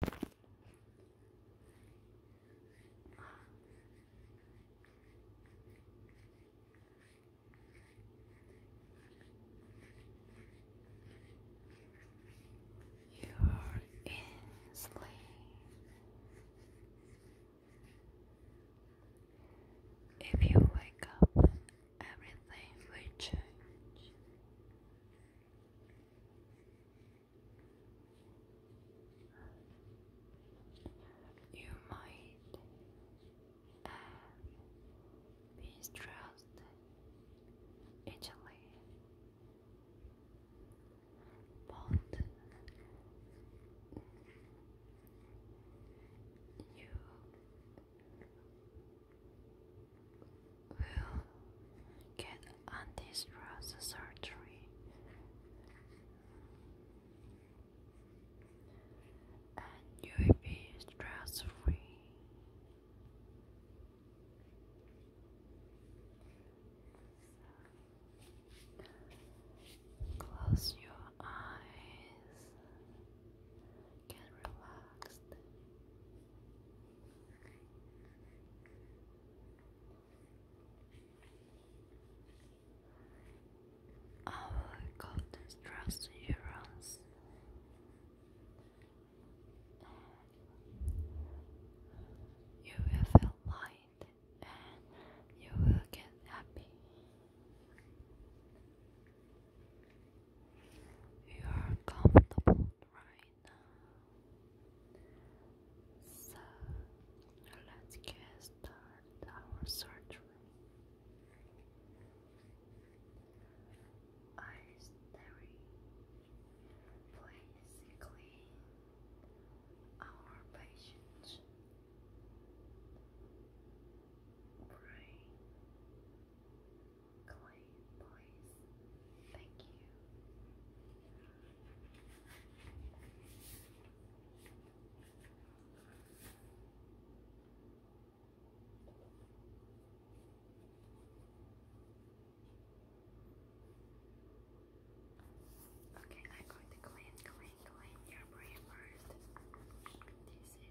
You are in sleep. If you wake up, everything will change. You might have um, mistrust Italy, but you will get on this processor and you will be stress free. Close your eyes, get relaxed. Our oh, golden trust neurons you will feel light and you will get happy. You are comfortable, right? right now. So let's get started our surgery. Eyes very please clean our patient brain Clay Boys. Thank you. Okay, I'm going to clean, clean, clean your brain first. This is the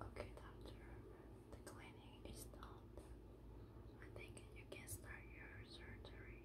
Okay, doctor, the cleaning is done. I think you can start your surgery.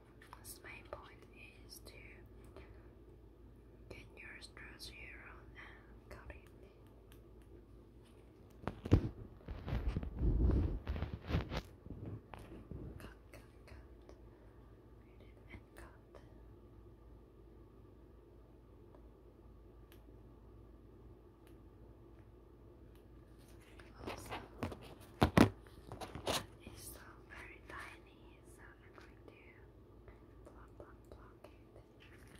The main point is to get your stress here and cut it. Cut, cut, cut. Read and cut. Also, it's so very tiny, so I'm going to block, block, block it. let me check here.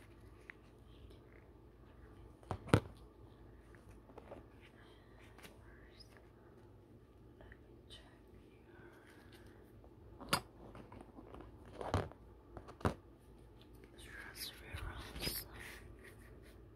Stress reruns.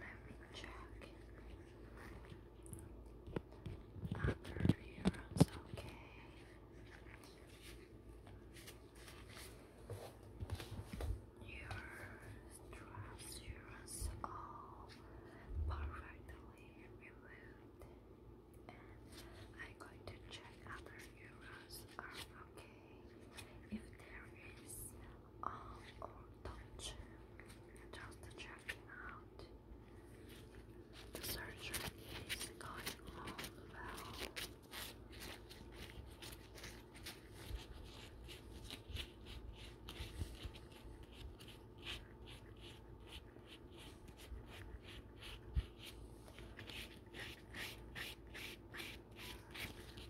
Let me check. Upper ear okay. Your stress is perfectly removed. And I'm going to check other euros are okay. If there is um, or touch just checking out the surgery is going well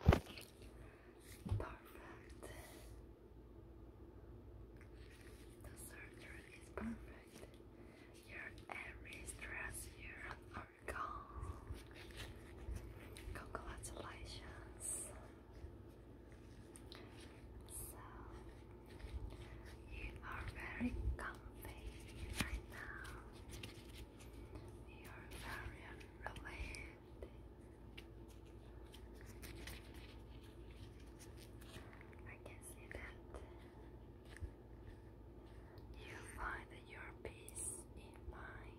Perfect. The surgery is perfect. Your every stress here are gone. Congratulations. So you are very comfy right now. You are very relaxed. I can see that you find your peace in mind.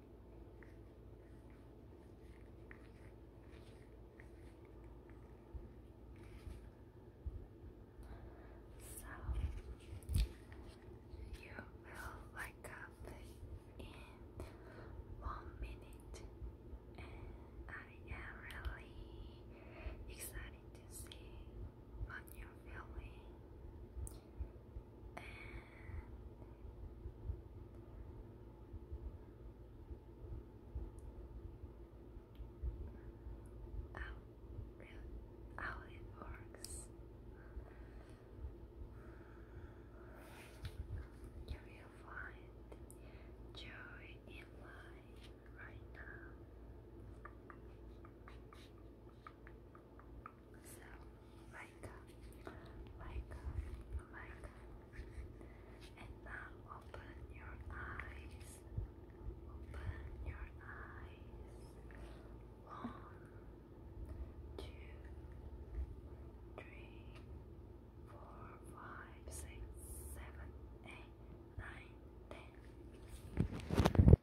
So you will wake up in one minute, and I am really excited to see what you're feeling. How, how it works. You will find joy in life right now. So like, like, like, and now open your eyes, open your eyes, one, two, three, four, five, six, seven, eight, nine, ten.